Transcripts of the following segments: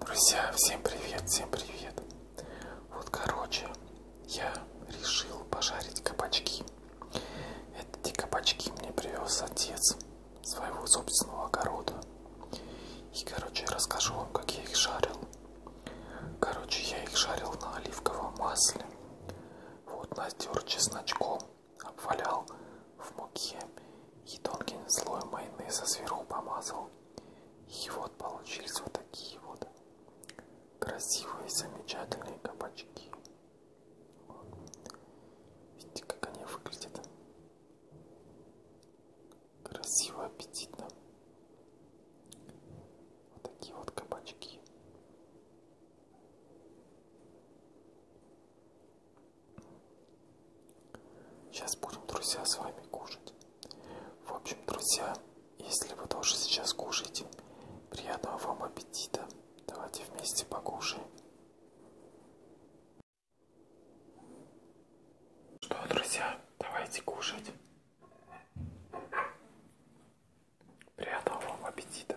Друзья, всем привет, всем привет. Вот, короче, я решил пожарить кабачки. Эти кабачки мне привез отец своего собственного огорода. И, короче, расскажу вам, как я их жарил. Короче, я их жарил на оливковом масле. Вот, натер чесночком, обвалял в муке и тонким слоем майонеза сверху помазал. И вот получились вот такие вот красивые, замечательные кабачки. Видите, как они выглядят? Красиво, аппетитно. Вот такие вот кабачки. Сейчас будем, друзья, с вами кушать. В общем, друзья, если вы тоже сейчас кушаете, приятного вам аппетита. Давайте вместе покушаем. Что, друзья, давайте кушать. Приятного вам аппетита.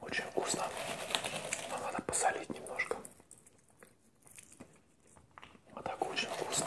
Очень вкусно. Но надо посолить немножко. А так очень вкусно.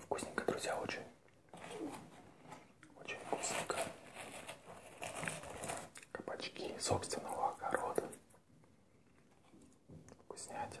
Вкусненько, друзья, очень. Очень вкусненько. Кабачки собственного огорода. Вкуснятина.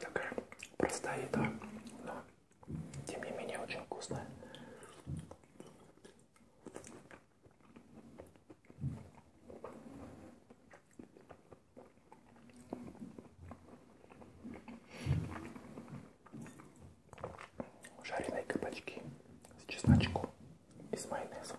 Такая простая еда, но тем не менее очень вкусная. Жареные кабачки с чесночком и с майонезом.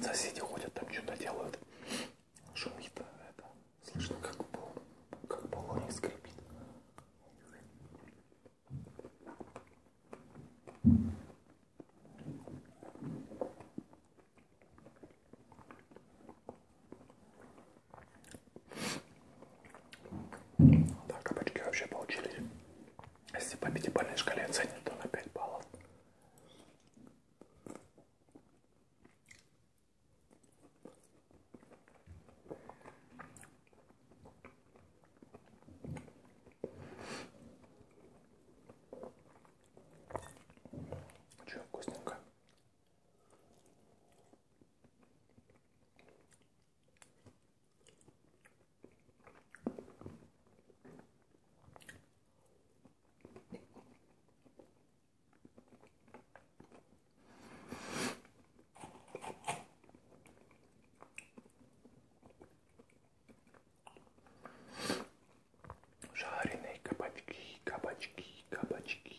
Соседи ходят, там что-то делают. Шумит а это. Слышно, как, пол, как полоник скрипит. Да, кабачки вообще получились. Если по пятибалльной шкале оценят, то на 5 баллов. Че, вкусненько? Жареные кабачки, кабачки, кабачки.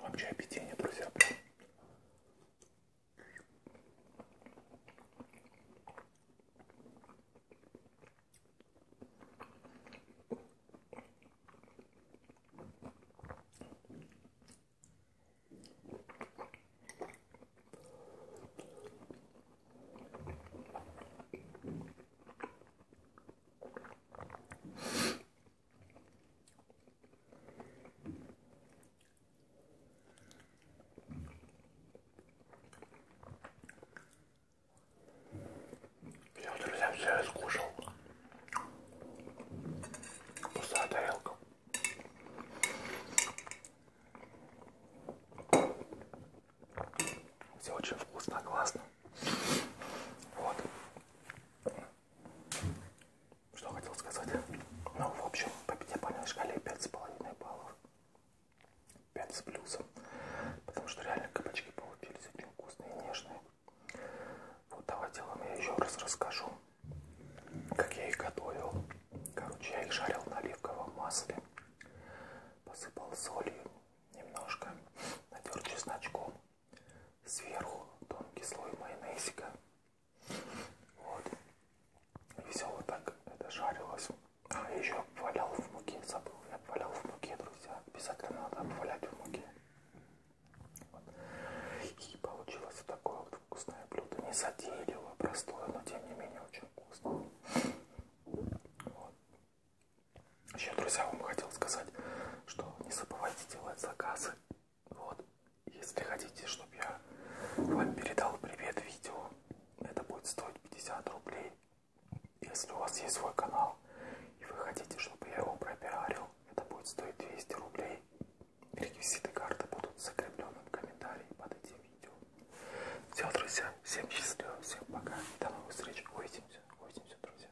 Вообще объедение, друзья, прям. Я, друзья, все скушал. Пустая тарелка. Все очень вкусно, классно. Вот. Что хотел сказать? Ну, в общем, по пятибалльной шкале 5,5 баллов. 5 с плюсом. Потому что реально кабачки получились очень вкусные и нежные. Вот давайте я вам я еще раз расскажу, как я их готовил. Короче, я их жарил на оливковом масле. Посыпал солью немножко. Натер чесночком сверху тонкий слой майонезика. Вот. И все вот так это жарилось. А еще обвалял в муке, забыл, я обвалял в муке, друзья. Обязательно надо обвалять в муке. Вот. И получилось вот такое вот вкусное блюдо. Не затейливо, простое, но тем не менее очень вкусно. Вот. Еще, друзья, вам хотел сказать, что не забывайте делать заказы. Вот. Если хотите, чтобы я вам передал привет видео, это будет стоить 50 рублей. Если у вас есть свой канал и вы хотите, чтобы я его пропиарил, это будет стоить 200 рублей. Реквизиты карты будут закреплены в комментарии под этим видео. Все, друзья, всем счастливо, всем пока. До новых встреч. Увидимся, увидимся, друзья.